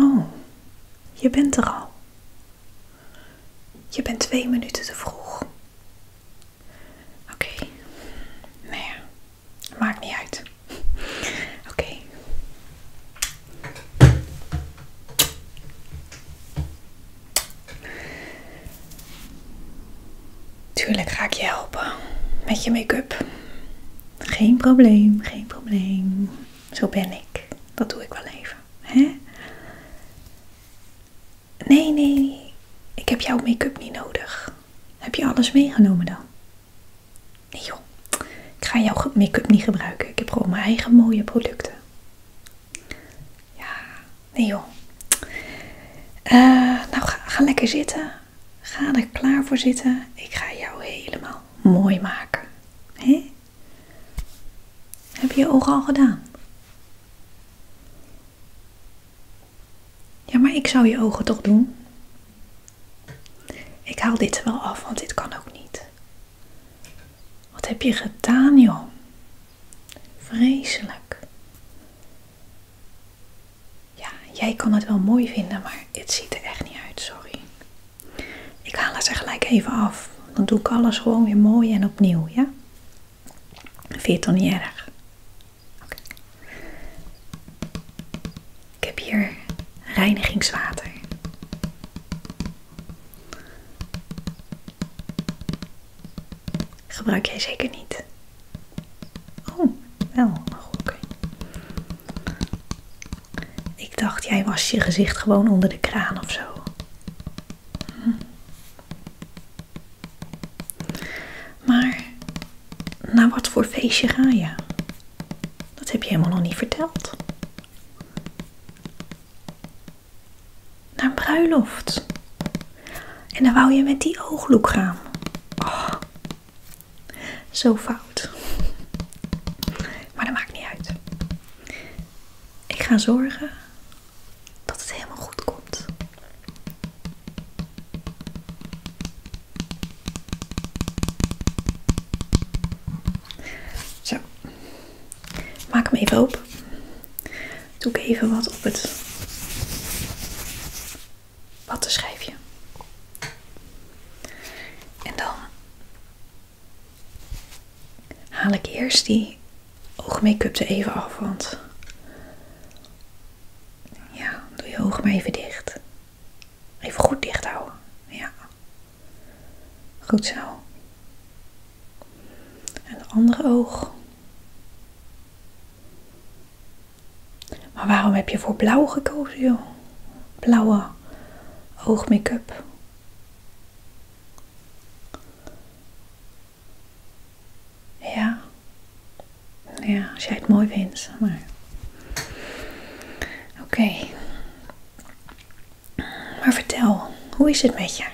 Oh, je bent er al. Je bent twee minuten te vroeg. Oké. Nee, Nou ja, maakt niet uit. Oké. Tuurlijk ga ik je helpen met je make-up. Geen probleem, geen probleem. Zo ben ik. Dat doe ik wel even. Hè? Nee, nee, ik heb jouw make-up niet nodig. Heb je alles meegenomen dan? Nee joh, ik ga jouw make-up niet gebruiken. Ik heb gewoon mijn eigen mooie producten. Ja, nee joh. Eh, nou, ga, lekker zitten. Ga er klaar voor zitten. Ik ga jou helemaal mooi maken. Hè? Heb je je ogen al gedaan? Ja, maar ik zou je ogen toch doen? Ik haal dit er wel af, want dit kan ook niet. Wat heb je gedaan, joh? Vreselijk. Ja, jij kan het wel mooi vinden, maar het ziet er echt niet uit, sorry. Ik haal het er gelijk even af. Dan doe ik alles gewoon weer mooi en opnieuw, ja? Vind je het dan niet erg? Ik heb hier reinigingswater. Gebruik jij zeker niet? Oh, wel. Goed. oké. Ik dacht, jij was je gezicht gewoon onder de kraan of zo. Maar naar wat voor feestje ga je? Dat heb je helemaal nog niet verteld. Naar bruiloft. En dan wou je met die oogloek gaan. Oh, zo fout. Maar dat maakt niet uit. Ik ga zorgen dat het helemaal goed komt. Zo, maak hem even open. Doe ik even wat op het schrijven? En dan haal ik eerst die oogmake-up er even af, want ja, doe je ogen maar even dicht. Even goed dicht houden. Ja. Goed zo. En de andere oog. Maar waarom heb je voor blauw gekozen, joh? Blauwe oogmake-up. Ja. Ja, als jij het mooi vindt. Oké. Maar vertel, hoe is het met je?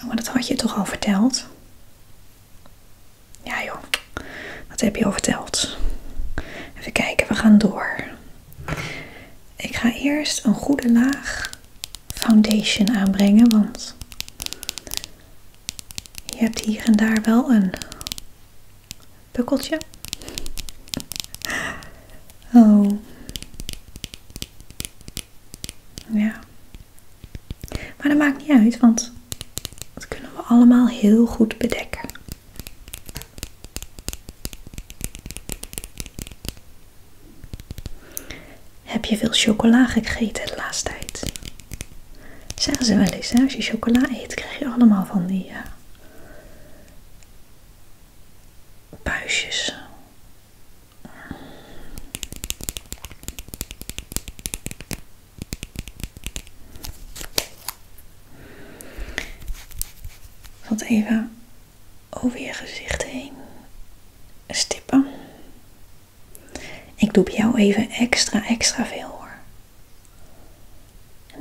Oh, maar dat had je toch al verteld? Ja joh, wat heb je al verteld? Even kijken, we gaan door. Ik ga eerst een goede laag foundation aanbrengen, want je hebt hier en daar wel een bukkeltje Oh. Ja. Maar dat maakt niet uit, want dat kunnen we allemaal heel goed bedekken. Heb je veel chocola gegeten de laatste tijd? Zeggen ze wel eens, hè? als je chocola eet, krijg je allemaal van die uh, buisjes. Wat even over je gezicht heen stippen. Ik doe bij jou even extra, extra veel hoor.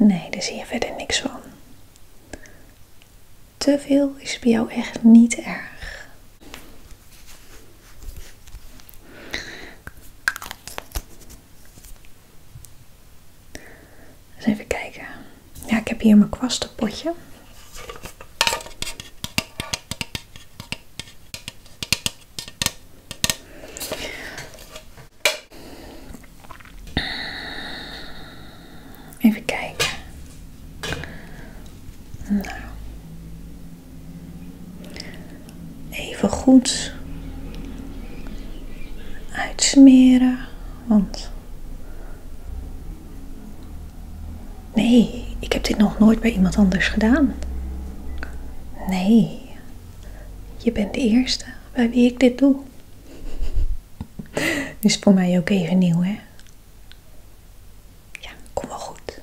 Nee, daar zie je verder niks van. Te veel is bij jou echt niet erg. Eens even kijken. Ja, ik heb hier mijn kwastenpotje. Even kijken. Nou. Even goed uitsmeren, want Nee, ik heb dit nog nooit bij iemand anders gedaan. Nee, je bent de eerste bij wie ik dit doe. Is voor mij ook even nieuw, hè? Ja, kom wel goed.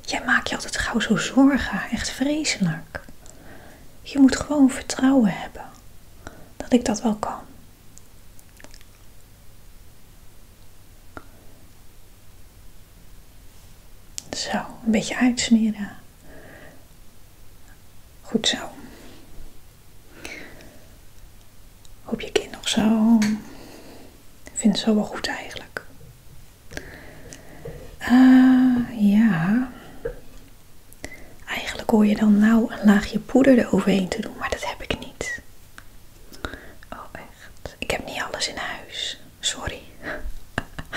Jij maakt je altijd gauw zo zorgen, echt vreselijk. Je moet gewoon vertrouwen hebben dat ik dat wel kan. Zo, een beetje uitsmeren. Goed zo. Hoop je kind nog zo. Vindt ze zo wel goed eigenlijk. Ah, ja. Eigenlijk hoor je dan nou een laagje poeder eroverheen te doen, maar dat heb ik niet. Oh, echt. Ik heb niet alles in huis. Sorry.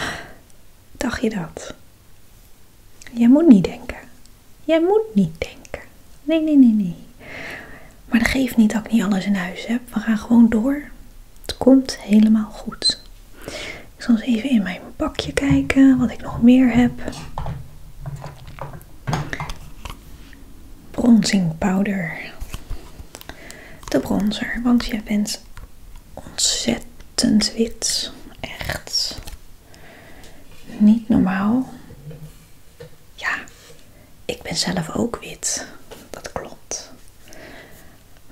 Dacht je dat? Jij moet niet denken. Jij moet niet denken. Nee, nee, nee, nee. Maar dat geeft niet dat ik niet alles in huis heb. We gaan gewoon door. Het komt helemaal goed. Ik zal eens even in mijn bakje kijken wat ik nog meer heb. Bronzing powder. De bronzer, want je bent ontzettend wit. Echt niet normaal. Ja, ik ben zelf ook wit. Dat klopt.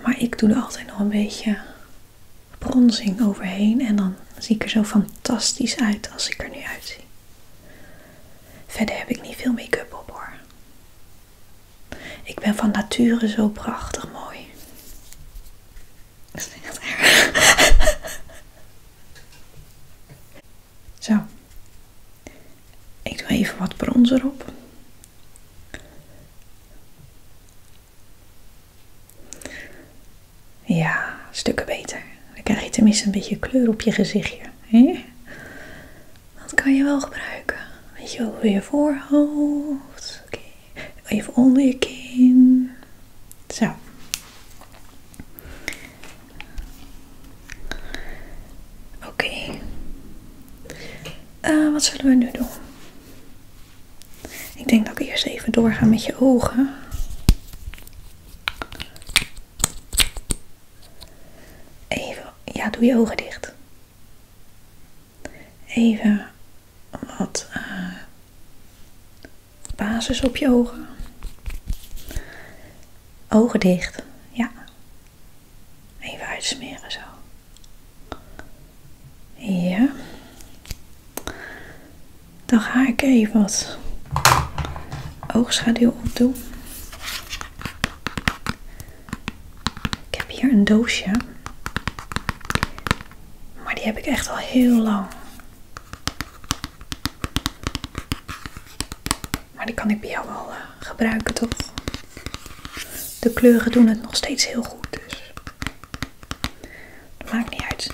Maar ik doe er altijd nog een beetje bronzing overheen en dan zie ik er zo fantastisch uit als ik er nu uitzie. Verder heb ik niet veel make-up op hoor. Ik ben van nature zo prachtig mooi. Dat is echt erg. zo. Ik doe even wat bronzer op. Ja, stukken beter. Dan krijg je tenminste een beetje kleur op je gezichtje. Dat kan je wel gebruiken. Weet je over je voorhoofd. Even onder je kin. Zo. Oké. Eh, wat zullen we nu doen? Ik denk dat ik eerst even doorga met je ogen. Even, ja, doe je ogen dicht. Even wat eh, basis op je ogen. Ogen dicht, ja. Even uitsmeren zo. Ja. Dan ga ik even wat oogschaduw opdoen. Ik heb hier een doosje. Maar die heb ik echt al heel lang. Maar die kan ik bij jou wel eh, gebruiken toch? De kleuren doen het nog steeds heel goed. Dus. Dat maakt niet uit.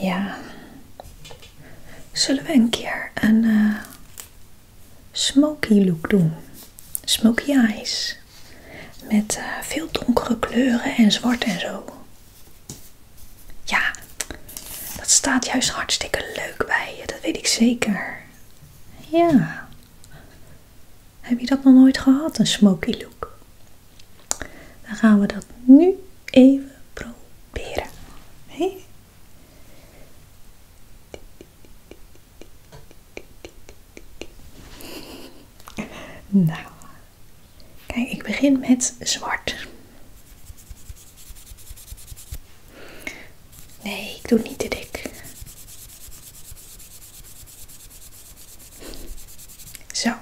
Ja. Zullen we een keer een eh, smoky look doen? Smoky eyes. Met eh, veel donkere kleuren en zwart en zo. Ja, dat staat juist hartstikke leuk bij je. Dat weet ik zeker. Ja. Heb je dat nog nooit gehad, een smoky look? Dan gaan we dat nu even proberen. Nou, kijk, ik begin met zwart. Nee, ik doe niet te dik. Zo,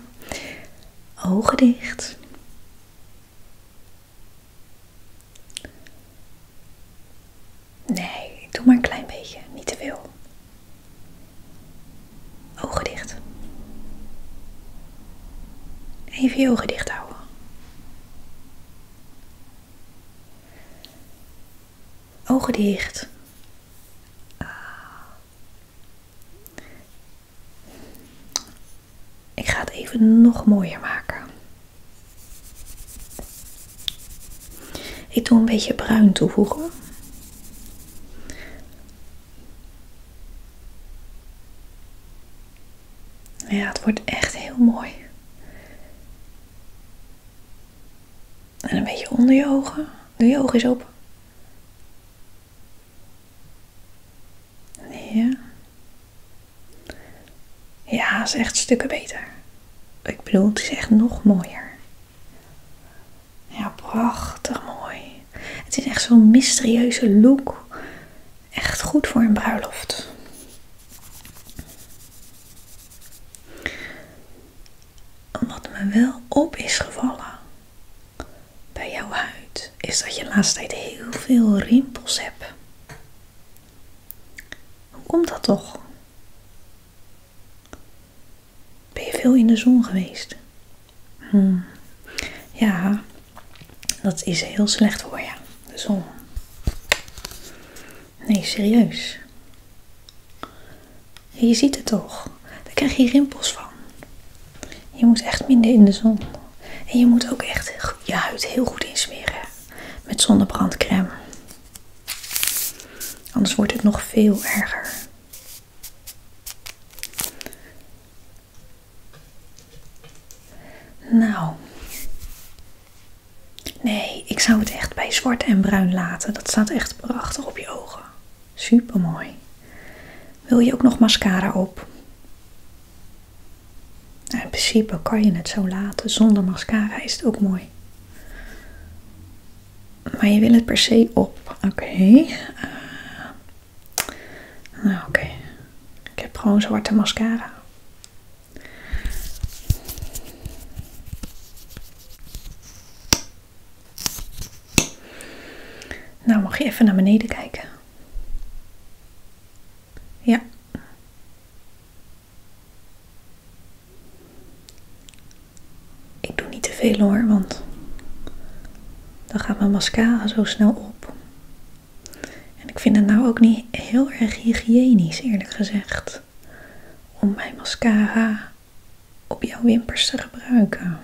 ogen dicht. Nee, doe maar een klein beetje, niet te veel. Ogen dicht. Even je ogen dicht houden. Ogen dicht. Ik ga het even nog mooier maken. Ik doe een beetje bruin toevoegen. Ja, het wordt echt heel mooi. En een beetje onder je ogen. Doe je ogen eens open. Ja. Ja, is echt stukken beter. Ik bedoel, het is echt nog mooier. Ja, prachtig mooi. Het is echt zo'n mysterieuze look. Echt goed voor een bruiloft. Wat me wel op is gevallen bij jouw huid is dat je de laatste tijd heel veel rimpels hebt. Hoe komt dat toch? Ben je veel in de zon geweest? Hmm. Ja, dat is heel slecht voor je, de zon. Nee, serieus. Je ziet het toch. Daar krijg je rimpels van. Je moet echt minder in de zon. En je moet ook echt je huid heel goed insmeren. Met zonnebrandcrème. Anders wordt het nog veel erger. Nou. Nee, ik zou het echt bij zwart en bruin laten. Dat staat echt prachtig op je ogen. Super mooi. Wil je ook nog mascara op? Nou, in principe kan je het zo laten. Zonder mascara is het ook mooi. Maar je wil het per se op. Oké. Eh, nou, oké. Ik heb gewoon zwarte mascara. Nou, mag je even naar beneden kijken? Ja. Ik doe niet te veel hoor, want dan gaat mijn mascara zo snel op. En ik vind het nou ook niet heel erg hygiënisch, eerlijk gezegd, om mijn mascara op jouw wimpers te gebruiken.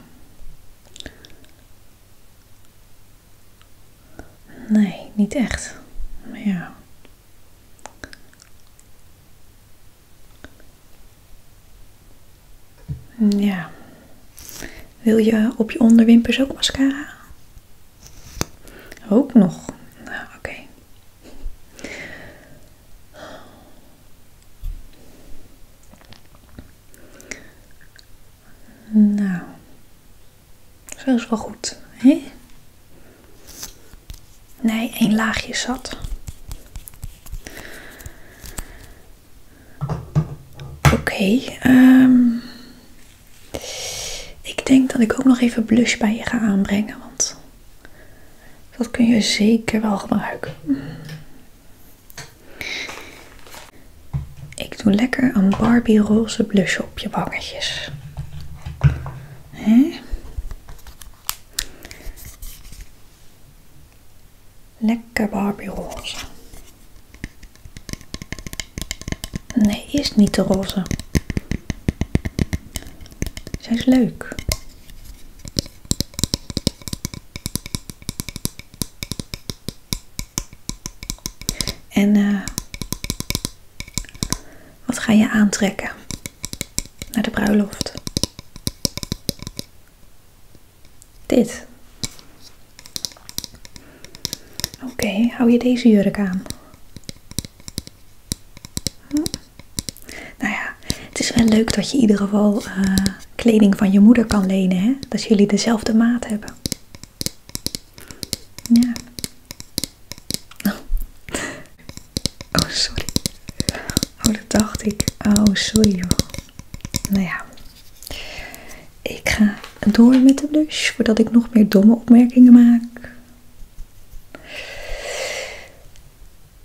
Nee, niet echt. Ja. Wil je op je onderwimpers ook mascara? Ook nog. Nou, oké. Nou. Zo is wel goed, hè? Nee, één laagje zat. Oké, okay, ehm. Ik denk dat ik ook nog even blush bij je ga aanbrengen, want dat kun je zeker wel gebruiken. Ik doe lekker een Barbie roze blush op je wangetjes. Hè? Lekker Barbie roze. Nee, is niet de roze. Zij is leuk. En eh, wat ga je aantrekken naar de bruiloft? Dit. Oké, hou je deze jurk aan? Nou ja, het is wel leuk dat je in ieder geval eh, kleding van je moeder kan lenen, hè? Dat jullie dezelfde maat hebben. Ja. Oh, sorry. Oh, dat dacht ik. Oh, sorry Nou ja. Ik ga door met de blush voordat ik nog meer domme opmerkingen maak.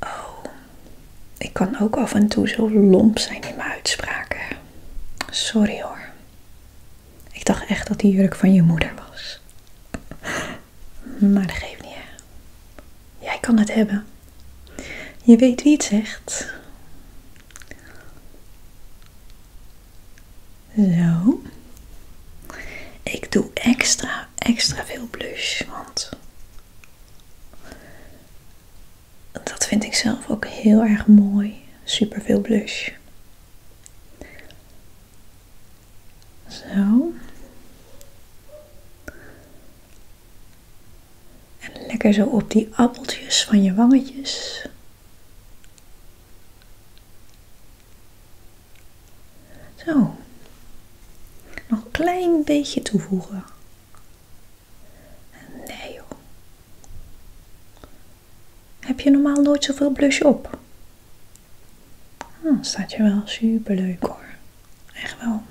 Oh, ik kan ook af en toe zo lomp zijn in mijn uitspraken. Sorry hoor. Ik dacht echt dat die jurk van je moeder was. Maar dat geeft niet. Hè? Jij kan het hebben. Je weet wie het zegt. Zo. Ik doe extra, extra veel blush, want dat vind ik zelf ook heel erg mooi. Super veel blush. Zo. En lekker zo op die appeltjes van je wangetjes. Zo. Nog een klein beetje toevoegen. En Nee joh. Heb je normaal nooit zoveel blush op? Dan ah, staat je wel super leuk hoor. Echt wel.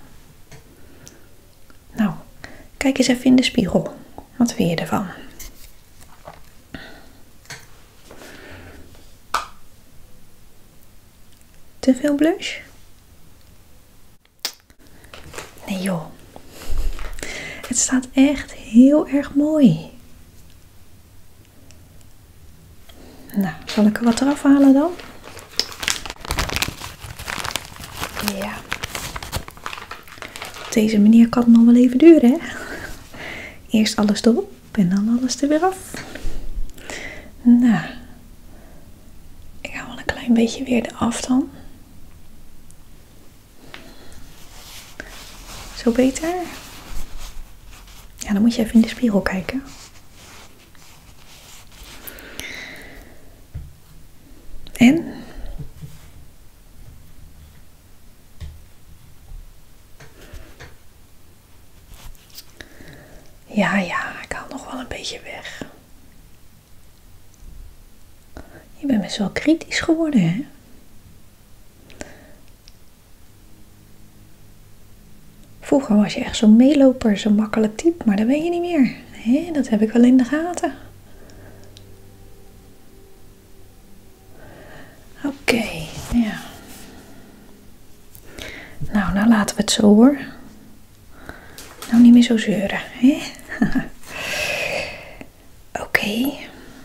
Nou, kijk eens even in de spiegel. Wat vind je ervan? Te veel blush? Nee joh. Het staat echt heel erg mooi. Nou, zal ik er wat eraf halen dan? Ja. Op deze manier kan het nog wel even duren, hè? Eerst alles erop en dan alles er weer af. Nou, ik hou wel een klein beetje weer af dan. Zo beter? Ja, dan moet je even in de spiegel kijken. En? Ja, ja, ik haal nog wel een beetje weg. Je bent best wel kritisch geworden, hè? Vroeger was je echt zo'n meeloper, zo'n makkelijk type, maar dat ben je niet meer. Dat heb ik wel in de gaten. Oké, ja. Nou, nou laten we het zo hoor. Nou niet meer zo zeuren, hè? Oké.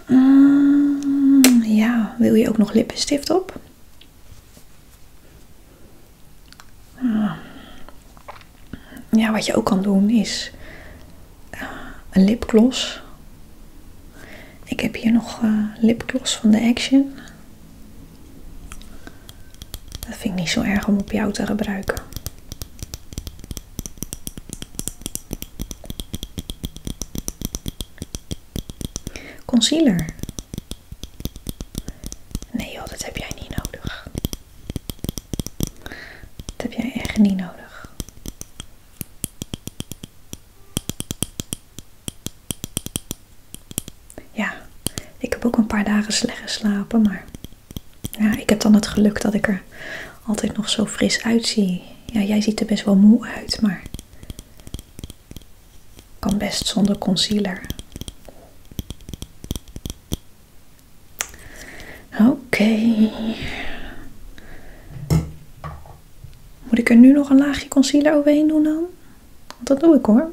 Mm, ja, wil je ook nog lippenstift op? Ah. Ja, wat je ook kan doen is eh, een lipgloss. Ik heb hier nog eh, lipgloss van de Action. Dat vind ik niet zo erg om op jou te gebruiken. Concealer. Nee joh, dat heb jij niet nodig. Dat heb jij echt niet nodig. Ja, ik heb ook een paar dagen slecht geslapen, maar ja, ik heb dan het geluk dat ik er altijd nog zo fris uitzie. Ja, jij ziet er best wel moe uit, maar kan best zonder concealer. Oké. Moet ik er nu nog een laagje concealer overheen doen dan? dat doe ik hoor.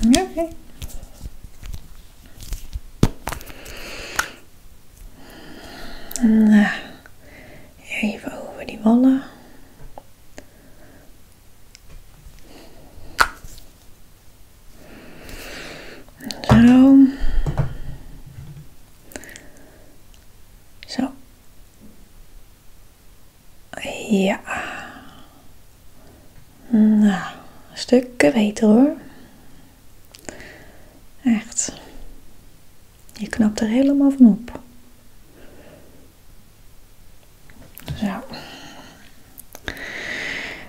Nou, even over die wallen. Zo. Zo. Ja. Nou, stukken beter hoor. Echt. Je knapt er helemaal van op. Zo.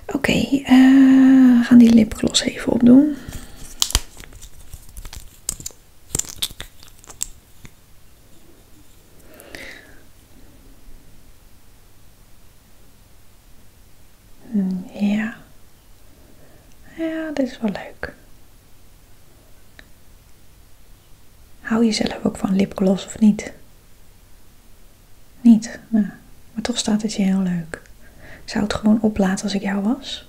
Oké, eh, we gaan die lipgloss even opdoen. Ja. Ja, dit is wel leuk. Hou je zelf ook van lipgloss of niet? Niet? Nou, maar toch staat het je heel leuk. zou het gewoon oplaten als ik jou was.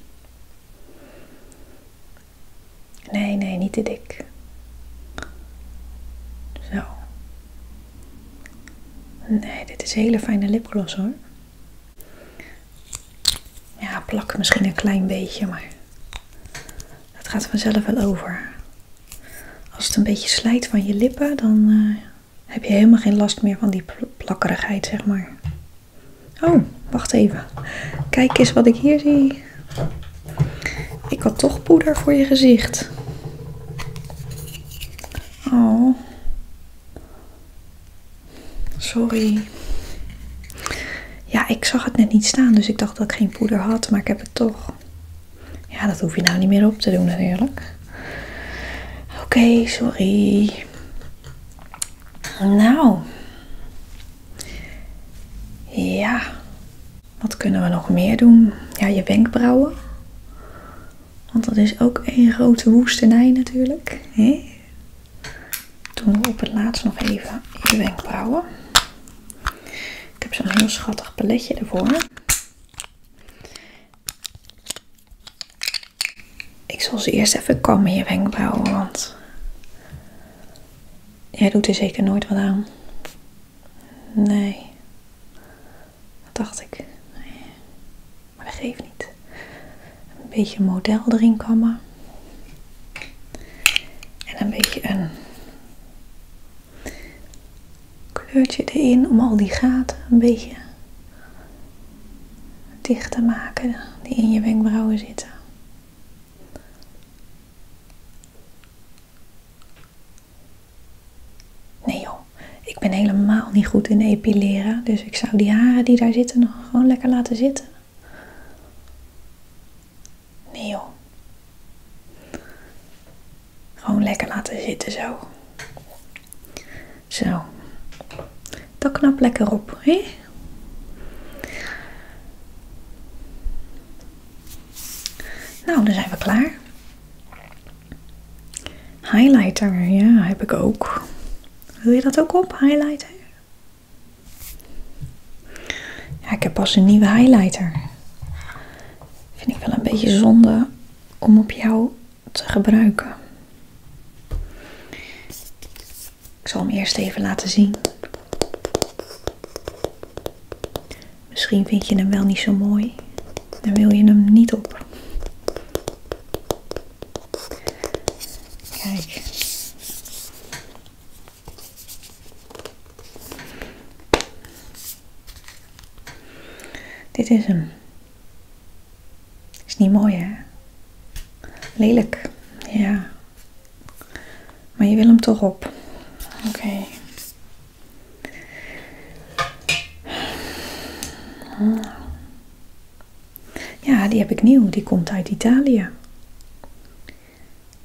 Nee, nee, niet te dik. Zo. Nee, dit is een hele fijne lipgloss hoor. Ja, plak misschien een klein beetje, maar dat gaat vanzelf wel over. Als het een beetje slijt van je lippen, dan eh, heb je helemaal geen last meer van die plakkerigheid, zeg maar. Oh, wacht even. Kijk eens wat ik hier zie. Ik had toch poeder voor je gezicht. Oh. Sorry. Ja, ik zag het net niet staan, dus ik dacht dat ik geen poeder had, maar ik heb het toch. Ja, dat hoef je nou niet meer op te doen natuurlijk. Oké, sorry. Nou. Ja. Wat kunnen we nog meer doen? Ja, je wenkbrauwen. Want dat is ook een grote woestenij natuurlijk. Hè? Doen we op het laatst nog even je wenkbrauwen. Ik heb zo'n heel schattig paletje ervoor. Ik zal ze eerst even kammen, je wenkbrauwen, want jij doet er zeker nooit wat aan. Nee, dacht ik. Nee. Maar dat geeft niet. Een beetje model erin kammen. En een beetje een kleurtje erin om al die gaten een beetje dicht te maken die in je wenkbrauwen zitten. Nee joh, ik ben helemaal niet goed in epileren, dus ik zou die haren die daar zitten nog gewoon lekker laten zitten. Nee joh. Gewoon lekker laten zitten zo. Zo. Dat knap lekker op, Nou, dan zijn we klaar. Highlighter, ja, heb ik ook. Wil je dat ook op, highlighter? Ja, ik heb pas een nieuwe highlighter. Vind ik wel een beetje zonde om op jou te gebruiken. Ik zal hem eerst even laten zien. Misschien vind je hem wel niet zo mooi Dan wil je hem niet op. Kijk. Dit is hem. Is niet mooi, hè? Lelijk. Ja. Maar je wil hem toch op. Oké. Ja, die heb ik nieuw. Die komt uit Italië.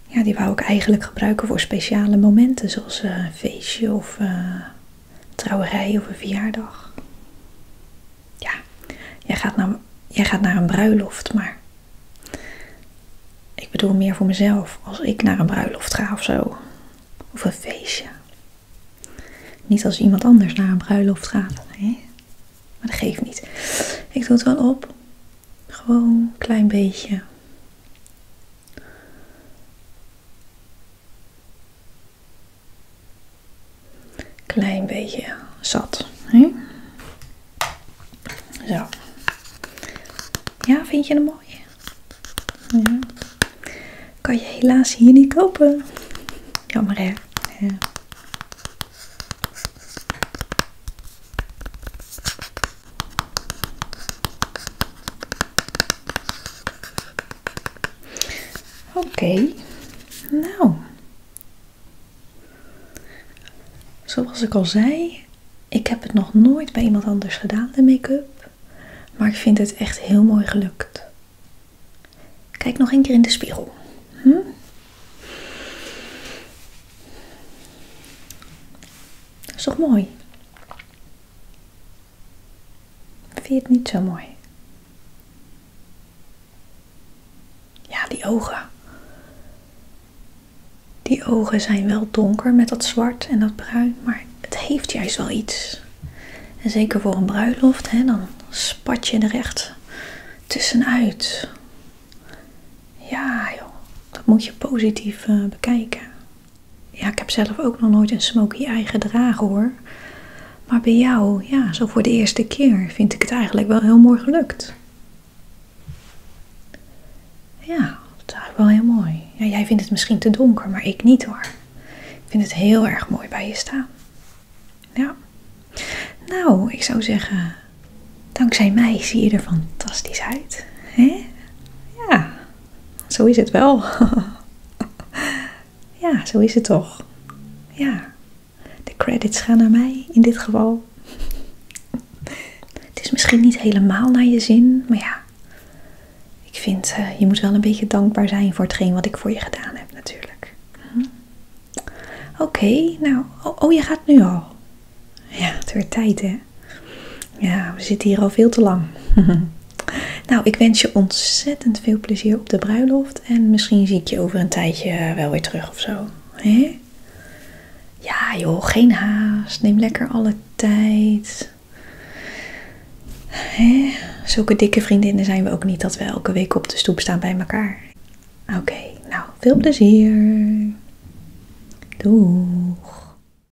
Ja, die wou ik eigenlijk gebruiken voor speciale momenten, zoals een eh, feestje of eh, trouwerij of een verjaardag. Ja, jij gaat, naar, jij gaat naar een bruiloft, maar ik bedoel meer voor mezelf. Als ik naar een bruiloft ga of zo, of een feestje. Niet als iemand anders naar een bruiloft gaat, hè? maar dat geeft niet. Ik doe het wel op. Gewoon een klein beetje. Klein beetje zat. Hè? Ja, vind je hem mooi? Ja. Kan je helaas hier niet kopen. Jammer hè. Oké, nou. Zoals ik al zei, ik heb het nog nooit bij iemand anders gedaan, de make-up. Maar ik vind het echt heel mooi gelukt. Kijk nog een keer in de spiegel. Dat hm? is toch mooi? Vind je het niet zo mooi? Ja, die ogen. Die ogen zijn wel donker met dat zwart en dat bruin, maar het heeft juist wel iets. En zeker voor een bruiloft, hè, dan spat je er echt tussenuit. Ja, joh, dat moet je positief eh, bekijken. Ja, ik heb zelf ook nog nooit een smokey eye gedragen hoor. Maar bij jou, ja, zo voor de eerste keer vind ik het eigenlijk wel heel mooi gelukt. Ja, dat is eigenlijk wel heel mooi. Ja, jij vindt het misschien te donker, maar ik niet hoor. Ik vind het heel erg mooi bij je staan. Ja. Nou, ik zou zeggen, dankzij mij zie je er fantastisch uit. hè? Ja, zo is het wel. ja, zo is het toch. Ja, de credits gaan naar mij in dit geval. het is misschien niet helemaal naar je zin, maar ja. Ik vind, eh, je moet wel een beetje dankbaar zijn voor hetgeen wat ik voor je gedaan heb natuurlijk. Mhm. Oké, nou, oh, oh, je gaat nu al. Ja, het werd tijd hè. Ja, we zitten hier al veel te lang. nou, ik wens je ontzettend veel plezier op de bruiloft. En misschien zie ik je over een tijdje wel weer terug of zo. Ja, joh, geen haast. Neem lekker alle tijd. Zulke dikke vriendinnen zijn we ook niet dat we elke week op de stoep staan bij elkaar. Oké, nou, veel plezier. Doeg.